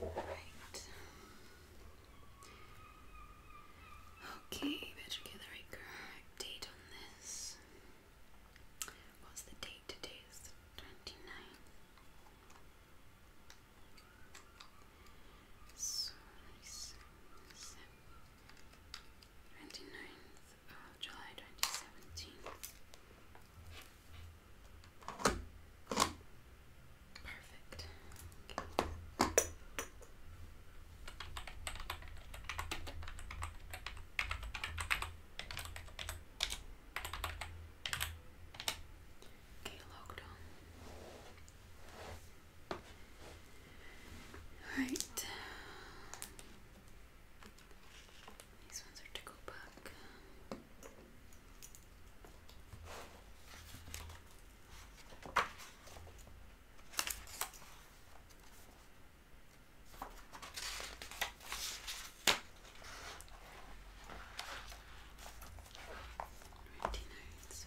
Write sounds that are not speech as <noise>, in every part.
Right. Okay, better get the right date on this. What's the date today? It's the 29th. So, 29th. July 2017. Perfect. Okay, locked on. Right. These ones are to go back. Ninety notes.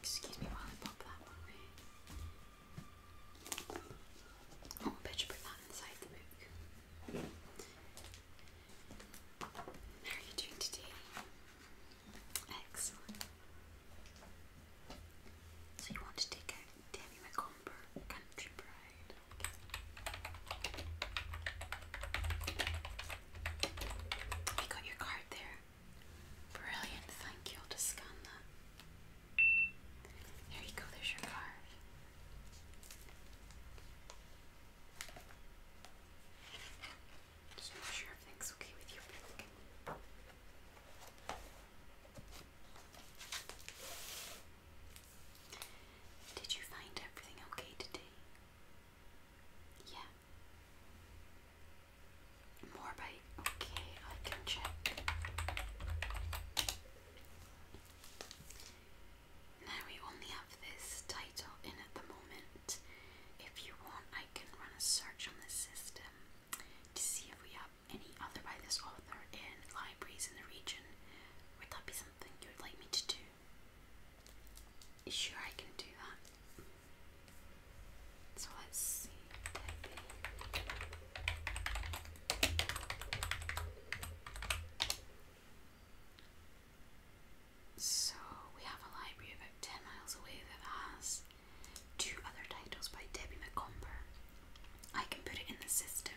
Excuse me while I pop that one away. Oh, I better put that inside the book. How are you doing today? Excellent. So you want to take out Demi McComber, Country Bride. Okay. got your card there. Brilliant, thank you. i There you go, there's your card. Just make sure everything's okay with you. Did you find everything okay today? Yeah. More Okay, I can check. Now we only have this title in at the moment. If you want, I can run a search on the system to see if we have any other by this author in libraries in the region. Would that be something you would like me to do? Sure, I can do that. So let's see. So we have a library about 10 miles away that has two other titles by Debbie McComber. I can put it in the system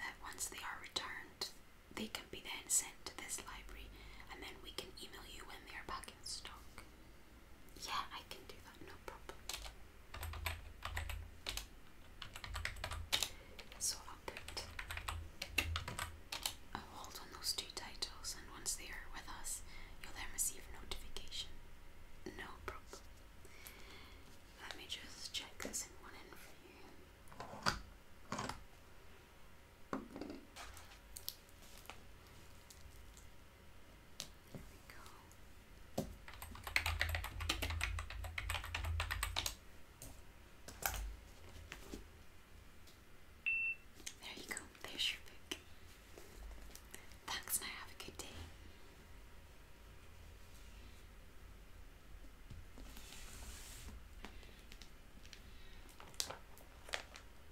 that once they are returned, they can be then sent to this library and then we can email you when they are back in stock. Yeah, I can do that, no problem. So I'll I'll oh, hold on those two titles, and once they are with us, you'll then receive notification. No problem. Let me just check this in one end for you. There you go. There's your book. Thanks, and have a good day.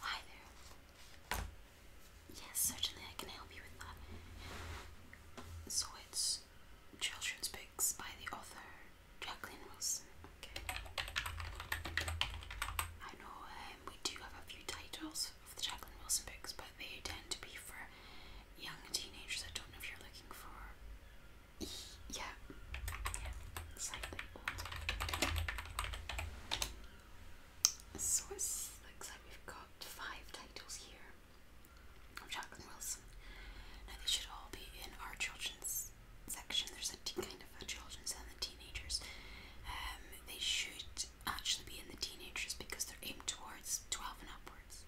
Hi there. Yes, certainly I can help you with that. So it's Children's Books by the author Jacqueline Wilson. Okay. I know um, we do have a few titles of the Jacqueline Wilson books, but they tend to be for young teenagers. I don't know if you're looking for. Yeah, yeah, So it looks like we've got five titles here of Jacqueline Wilson. Now they should all be in our children's section. There's a kind of a children's and the teenagers. Um, they should actually be in the teenagers because they're aimed towards 12 and upwards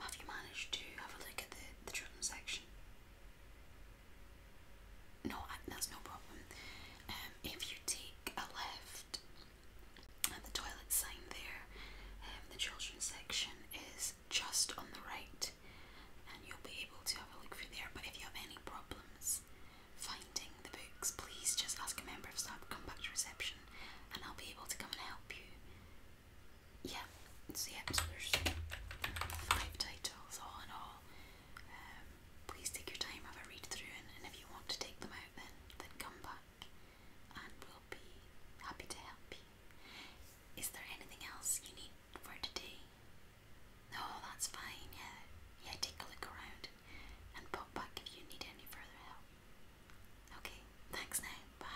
have you managed to have a look at the, the children's section? No, that's no problem. Um, if you take a left at the toilet sign there, um, the children's section is just on the right, and you'll be able to have a look through there. But if you have any problems finding the books, please just ask a member of staff, come back to reception, and I'll be able to come and help you yeah, so yeah, so there's five titles all in all. Um, please take your time, have a read through, and if you want to take them out, then then come back, and we'll be happy to help you. Is there anything else you need for today? No, that's fine. Yeah, yeah. Take a look around and pop back if you need any further help. Okay, thanks now. Bye.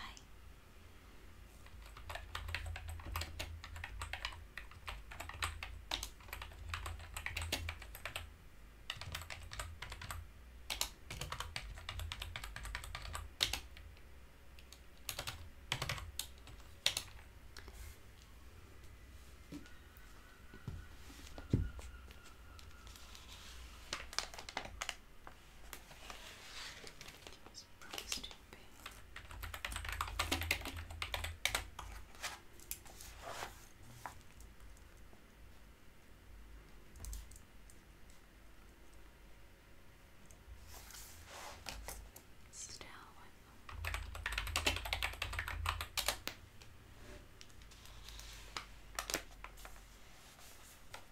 It's probably stupid. Still with them.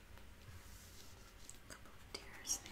A couple of tears there.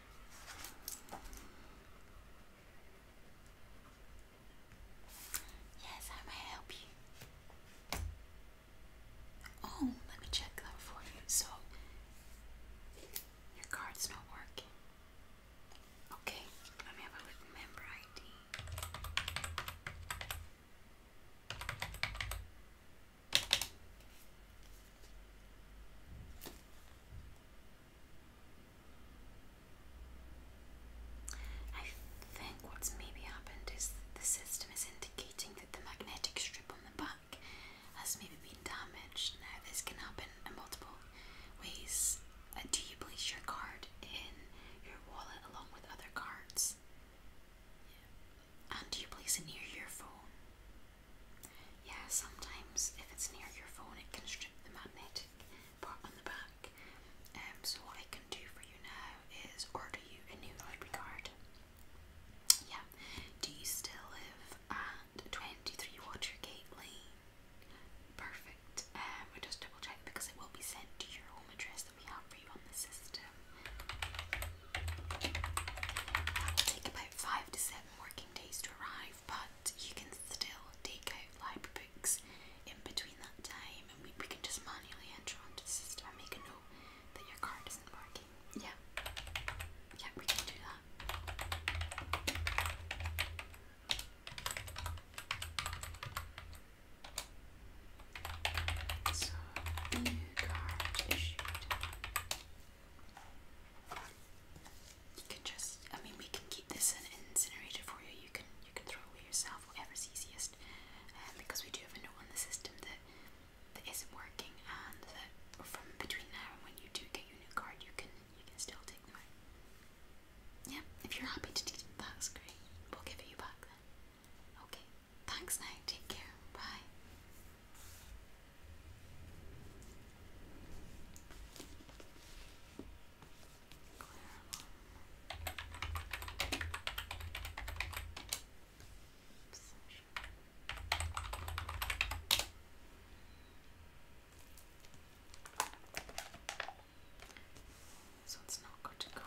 Yes, I may help you. Oh, let me check that for you. So, your card's not working. Okay, let me have a look. Member ID. I think what's maybe happened is the system is indicating that the magnetic strip on the back has maybe been damaged. Now, this can happen in multiple ways. Uh, do you place your card in your wallet along with other cards? And do you place it near your phone? Yeah, sometimes if it's near your phone, it can strip the magnetic part on the back. Um, so what I can do for you now is order you a new library card. Yeah. Do you still live at 23 Watergate Lane? Perfect. Um, just double check because it will be sent to your home address that we have for you on the system. That will take about five to seven working working days to arrive, but you can still take library books in between that time and we, can just manually enter onto the system and make a that your card isn't working. Yeah. Yeah, we can do that. So new card issued. You can just, I mean, we can keep this in an incinerator for you. You can you can throw away yourself, whatever's easiest, um, because we do have a note on the system that that isn't working, and that from between now and when you do get your new card, you can you can still take them out. Yeah, if you're happy to do that, that's great. We'll give it you back then. Okay. Thanks now. Take care. Bye. So it's not good to guard.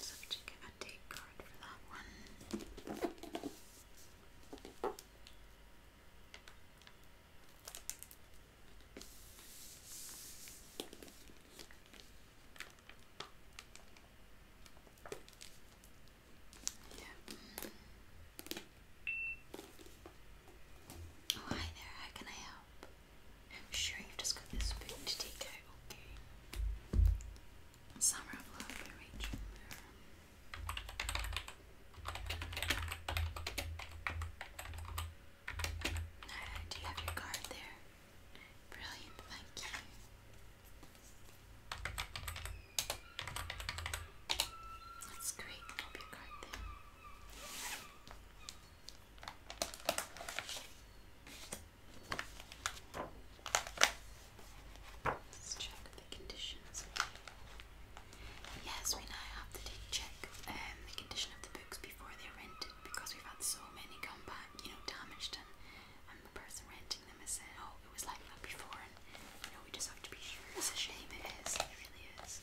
So have to get a date card for that one. Yeah. Oh, hi there. How can I help? I'm sure you've just got this spoon to take out, okay? do you have your card there? Brilliant, thank you. That's great. Pop your card there. Let's check the conditions. Yes, we now have to check and um, the condition of the books before they're rented because we've had so many come back, you know, damaged, and, and the person renting them has said, oh, it was like that before, and you know, we just have to be sure. It's a shame, it is, it really is.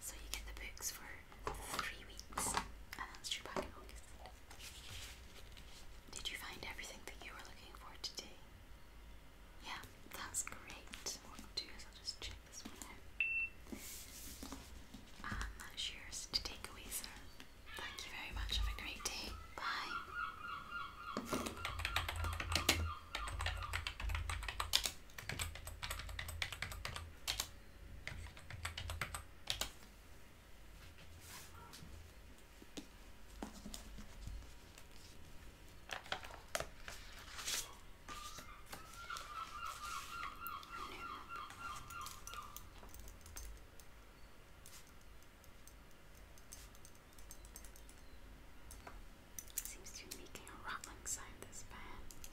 So you get the books for three weeks, and that's due back Did you find everything that you were looking for today? Yeah, that's great. What I'll do is I'll just check this one out. And um, that's yours to take away, sir. Thank you very much. Have a great day. Bye. Seems to be making a rattling sound this fan.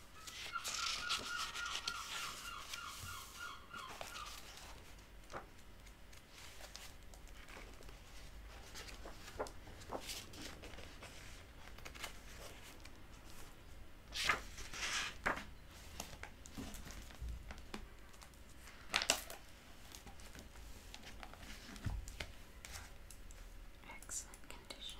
Excellent condition.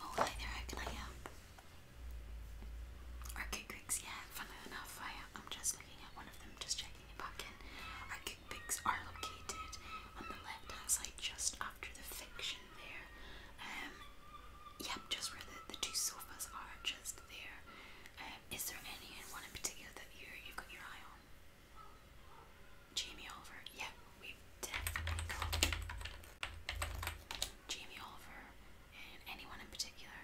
Oh, hi there, how can I help? Arcade Pigs, yeah, funnily enough, I, am just looking at one of them, just checking it back in. Arcade Pigs are located on the left hand side, just after the fiction there. Um, yep, just where the, the two sofas are, just there. Um, is there any and one in particular that you you've got your eye on? Jamie Oliver. Yeah, we definitely got Jamie Oliver and anyone in particular.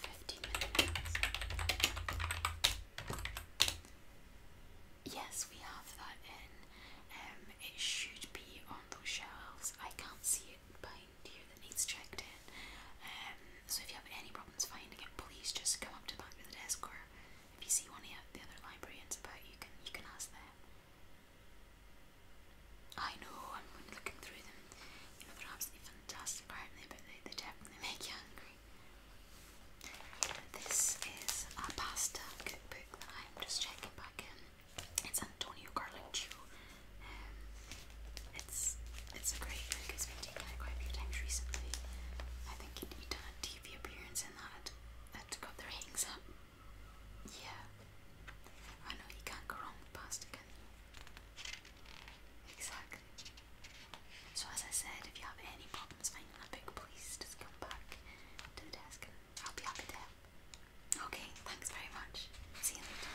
Fifteen minutes. Yes, we have that in. Um, it should be on those shelves. I can't see it by to you that needs checked in. Um, so if you have any problems finding it, please just come up to back of the desk, or if you see one of the other librarians about, you can you can ask them. I know I'm looking through them. they're absolutely fantastic, aren't they? But they, they definitely <laughs> make you angry. This is a pasta cookbook that I'm just checking back in. It's Antonio Carluccio um, it's it's a great book. It's taken out quite a few times recently. I think he done a TV appearance in that. That got their hangs up. Yeah. I know you can't go wrong with pasta, Exactly. So as I said, if you have any problems finding a book, please just come back to the desk and I'll be happy to help. Okay, thanks very much. See you later.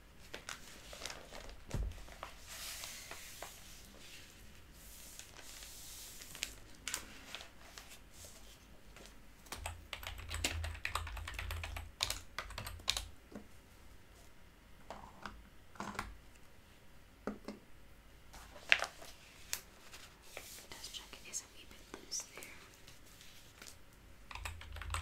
Does check it is a wee bit loose there. Okay.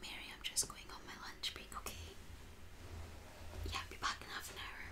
Mary, I'm just going on my lunch break, okay? Yeah, I'll be back in half an hour.